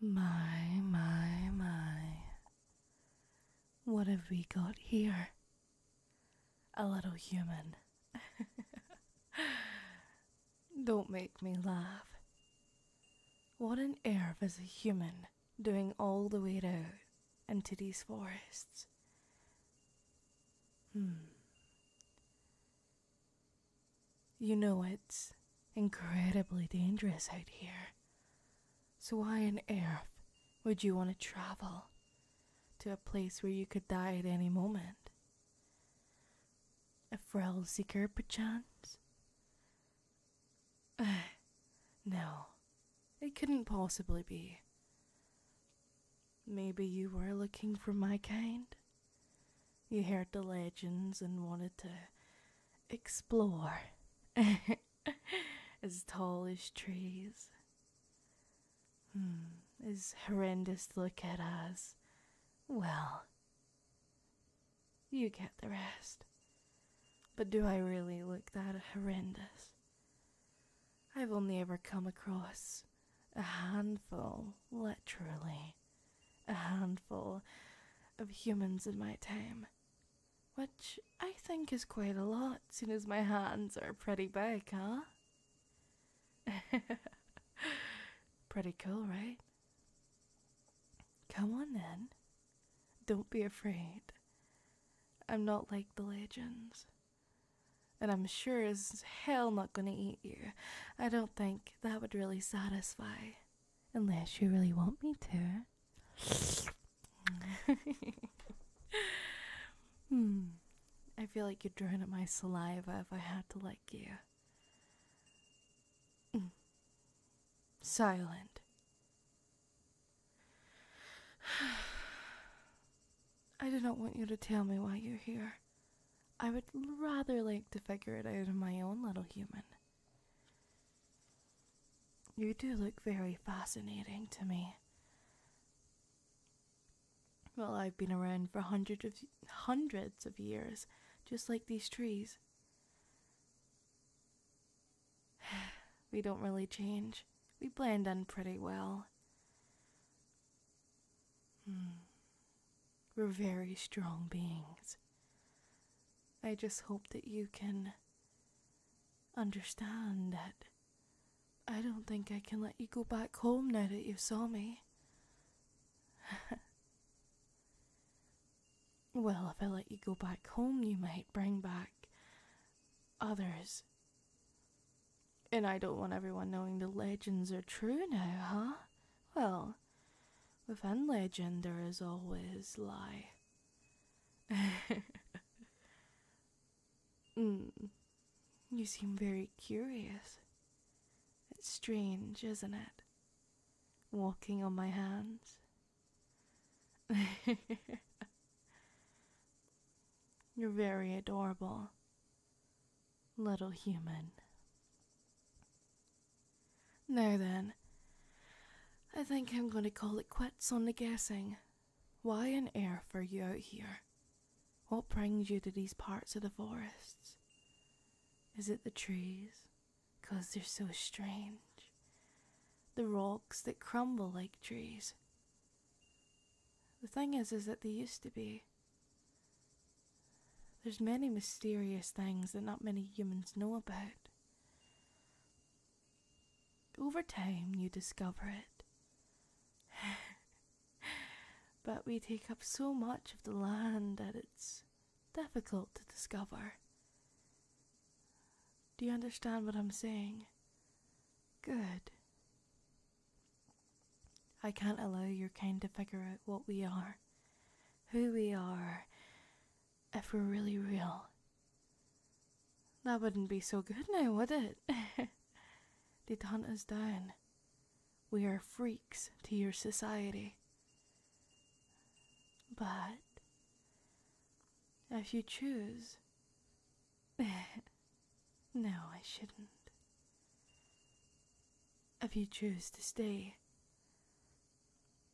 My, my, my. What have we got here? A little human. Don't make me laugh. What on earth is a human doing all the way out into these forests? Hmm. You know it's incredibly dangerous out here. So, why on earth would you want to travel to a place where you could die at any moment? A Frell Seeker, perchance? no, it couldn't possibly be. Maybe you were looking for my kind? You heard the legends and wanted to explore. as tall as trees. Hmm, as horrendous look at us. Well, you get the rest. But do I really look that horrendous? I've only ever come across a handful, literally, a handful of humans in my time, which I think is quite a lot, soon as my hands are pretty big, huh? pretty cool, right? Come on then. Don't be afraid. I'm not like the legends. And I'm sure as hell not gonna eat you. I don't think that would really satisfy. Unless you really want me to. hmm. I feel like you'd drown at my saliva if I had to like you. Hmm. Silent. I do not want you to tell me why you're here. I would rather like to figure it out on my own, little human. You do look very fascinating to me. Well, I've been around for hundreds of hundreds of years, just like these trees. we don't really change. We blend in pretty well. Hmm. We're very strong beings. I just hope that you can understand that I don't think I can let you go back home now that you saw me. well, if I let you go back home, you might bring back others. And I don't want everyone knowing the legends are true now, huh? Well, Within legend, there is always lie. mm. You seem very curious. It's strange, isn't it? Walking on my hands. You're very adorable little human. Now then, I think I'm going to call it quits on the guessing. Why on earth are you out here? What brings you to these parts of the forests? Is it the trees? they're so strange. The rocks that crumble like trees. The thing is, is that they used to be. There's many mysterious things that not many humans know about. Over time, you discover it. but we take up so much of the land that it's difficult to discover. Do you understand what I'm saying? Good. I can't allow your kind to figure out what we are, who we are, if we're really real. That wouldn't be so good now, would it? They'd hunt us down. We are freaks to your society. But if you choose. no, I shouldn't. If you choose to stay,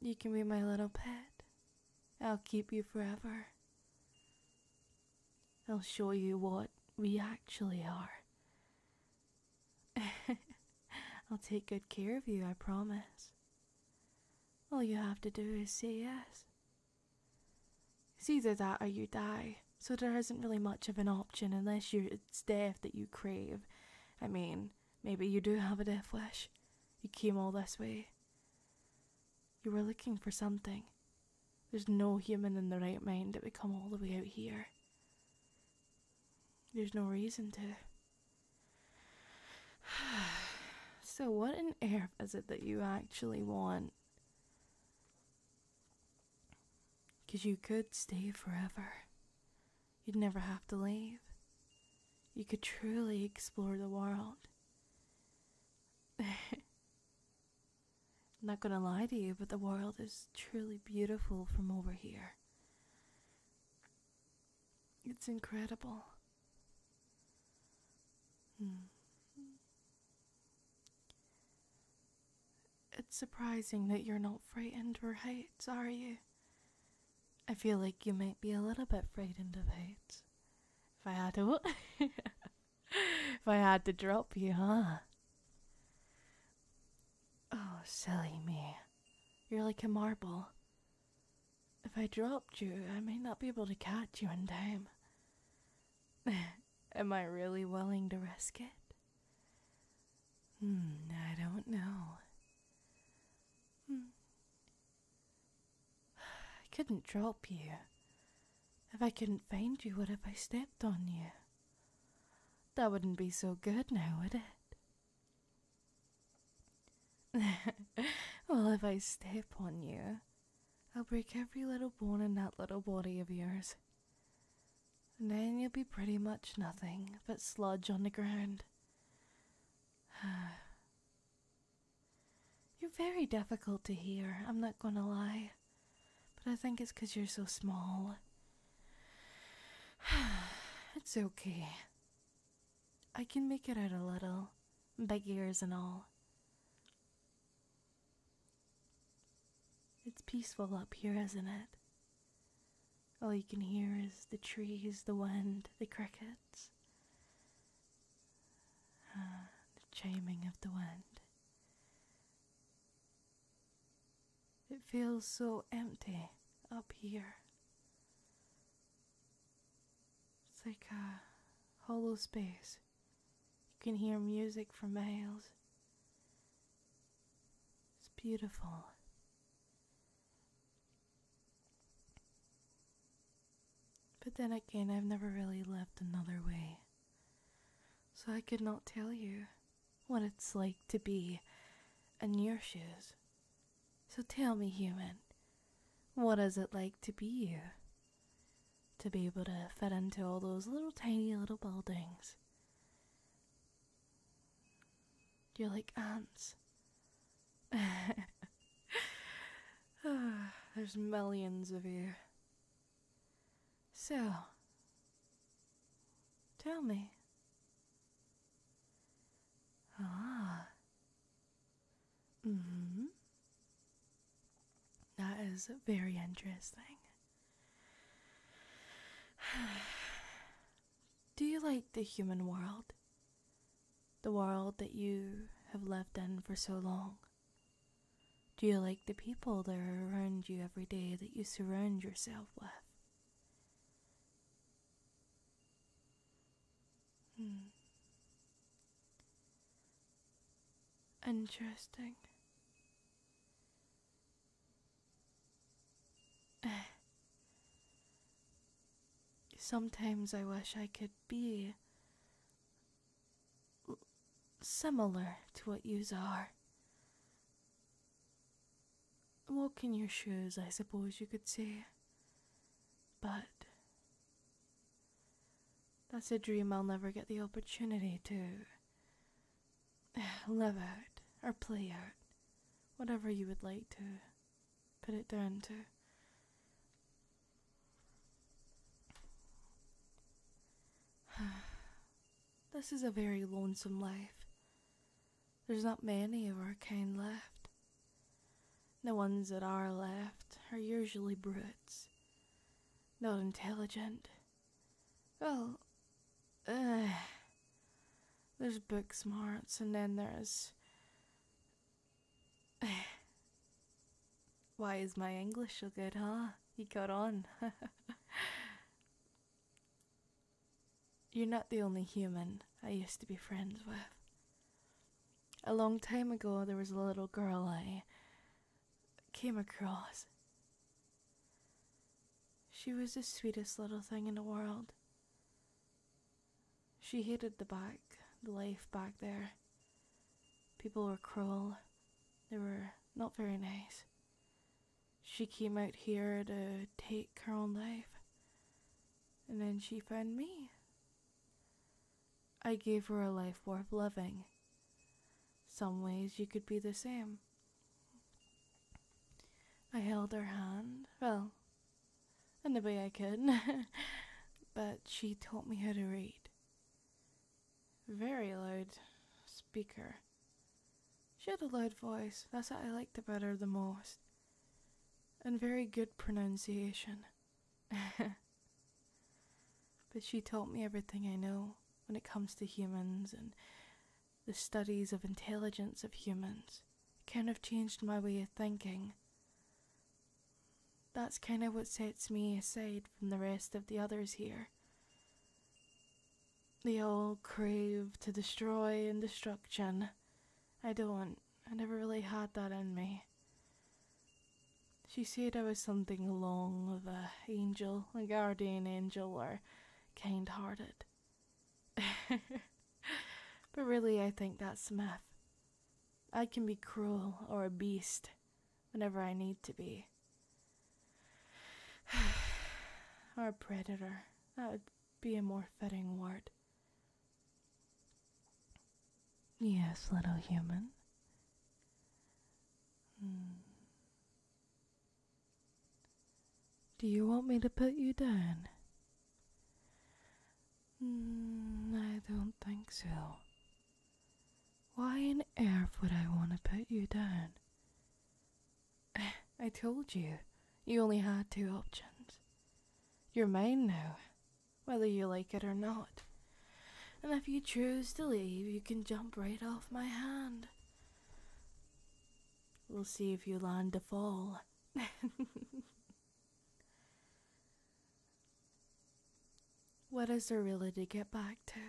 you can be my little pet. I'll keep you forever. I'll show you what we actually are. I'll take good care of you, I promise. All you have to do is say yes. It's either that or you die so there isn't really much of an option unless it's death that you crave. I mean, maybe you do have a death wish. You came all this way. You were looking for something. There's no human in the right mind that would come all the way out here. There's no reason to. so, what on earth is it that you actually want? Because you could stay forever. You'd never have to leave. You could truly explore the world. not gonna lie to you, but the world is truly beautiful from over here. It's incredible. Hmm. It's surprising that you're not frightened or hate, are you? I feel like you might be a little bit frightened of hate. If I had to, if I had to drop you, huh? Oh, silly me. You're like a marble. If I dropped you, I may not be able to catch you in time. Am I really willing to risk it? Hmm, I don't know. Hmm. I couldn't drop you. If I couldn't find you, what if I stepped on you? That wouldn't be so good now, would it? well, if I step on you, I'll break every little bone in that little body of yours then you'll be pretty much nothing but sludge on the ground. you're very difficult to hear, I'm not gonna lie. But I think it's because you're so small. it's okay. I can make it out a little, big ears and all. It's peaceful up here, isn't it? All you can hear is the trees, the wind, the crickets, ah, the chiming of the wind. It feels so empty up here. It's like a hollow space. You can hear music from miles. It's beautiful. But then again, I've never really lived another way. So I could not tell you what it's like to be in your shoes. So tell me, human, what is it like to be you? To be able to fit into all those little tiny little buildings. You're like ants. There's millions of you. So, tell me. Ah. Mm That is very interesting. Do you like the human world? The world that you have lived in for so long? Do you like the people that are around you every day that you surround yourself with? Hmm. Interesting. Sometimes I wish I could be similar to what yous are. Walk in your shoes, I suppose you could say. But that's a dream I'll never get the opportunity to live out or play out, whatever you would like to put it down to. this is a very lonesome life. There's not many of our kind left. The ones that are left are usually brutes, not intelligent, well, oh, uh, there's book smarts, and then there's. Why is my English so good, huh? He got on. You're not the only human I used to be friends with. A long time ago, there was a little girl I came across. She was the sweetest little thing in the world. She hated the back, the life back there. People were cruel. They were not very nice. She came out here to take her own life. And then she found me. I gave her a life worth living. Some ways you could be the same. I held her hand, well, in the way I could, but she taught me how to read. Very loud speaker. She had a loud voice, that's what I liked about her the most, and very good pronunciation. but she taught me everything I know when it comes to humans and the studies of intelligence of humans. It kind of changed my way of thinking. That's kind of what sets me aside from the rest of the others here. The old crave to destroy and destruction. I don't. I never really had that in me. She said I was something along of a angel, a guardian angel, or kind hearted. but really, I think that's myth. I can be cruel or a beast whenever I need to be. or a predator. That would be a more fitting word. Yes, little human. Hmm. Do you want me to put you down? Mm, I don't think so. Why on earth would I want to put you down? I told you, you only had two options. You're mine now, whether you like it or not. And if you choose to leave, you can jump right off my hand. We'll see if you land a fall. what is there really to get back to?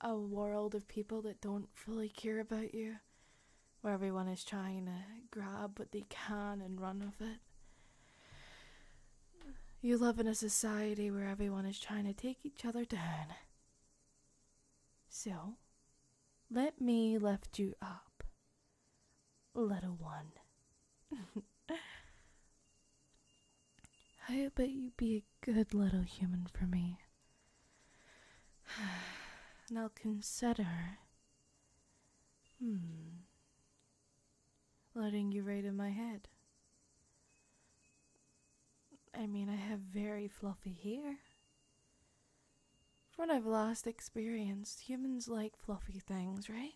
A world of people that don't really care about you, where everyone is trying to grab what they can and run with it. You live in a society where everyone is trying to take each other down. So, let me lift you up, little one. I hope you be a good little human for me. And I'll consider. Hmm. Letting you right in my head. I mean, I have very fluffy hair. From what I've last experience, humans like fluffy things, right?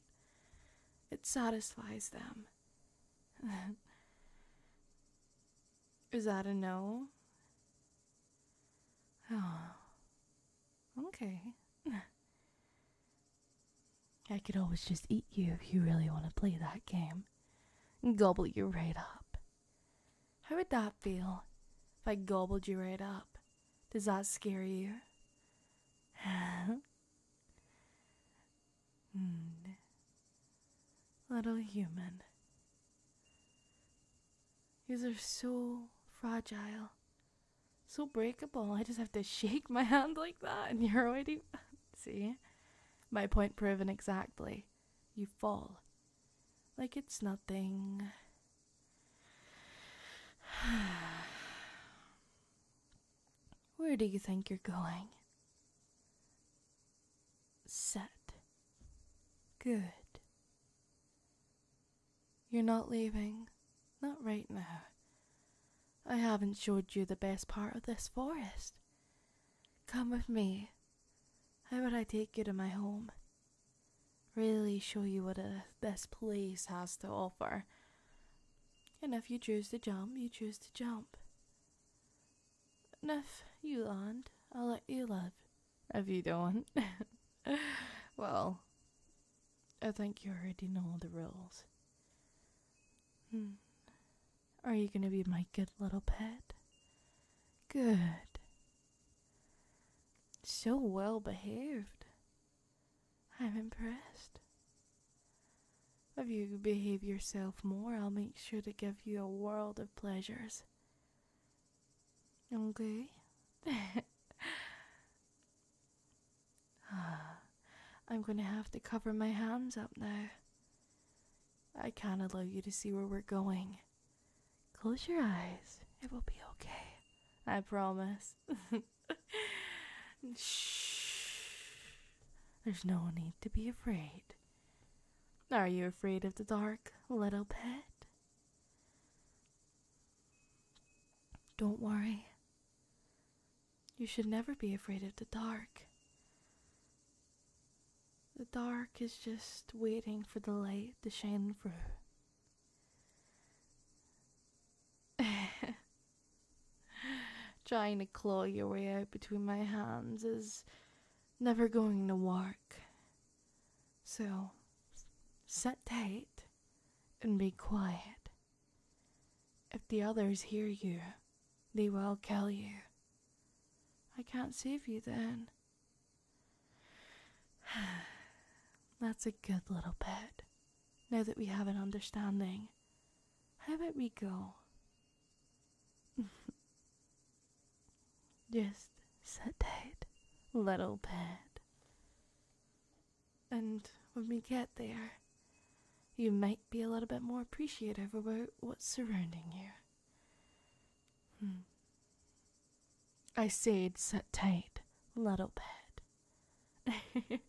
It satisfies them. Is that a no? Oh. Okay. I could always just eat you if you really want to play that game. Gobble you right up. How would that feel if I gobbled you right up? Does that scare you? Hmm. Little human. you are so fragile, so breakable. I just have to shake my hand like that, and you're already. See? My point proven exactly. You fall. Like it's nothing. Where do you think you're going? Set. Good. You're not leaving. Not right now. I haven't showed you the best part of this forest. Come with me. How about I take you to my home? Really show you what a, this place has to offer. And if you choose to jump, you choose to jump. And if you land, I'll let you live. If you don't, well, I think you already know the rules. Hmm. Are you going to be my good little pet? Good. So well behaved. I'm impressed. If you behave yourself more, I'll make sure to give you a world of pleasures. Okay? Ah. I'm going to have to cover my hands up now. I can't allow you to see where we're going. Close your eyes. It will be okay. I promise. Shh. There's no need to be afraid. Are you afraid of the dark, little pet? Don't worry. You should never be afraid of the dark. The dark is just waiting for the light to shine through. Trying to claw your way out between my hands is never going to work. So, sit tight and be quiet. If the others hear you, they will kill you. I can't save you then. That's a good little bit. Now that we have an understanding, how about we go? Just sit tight, little bit. And when we get there, you might be a little bit more appreciative about what's surrounding you. Hmm. I said, sit tight, little bit.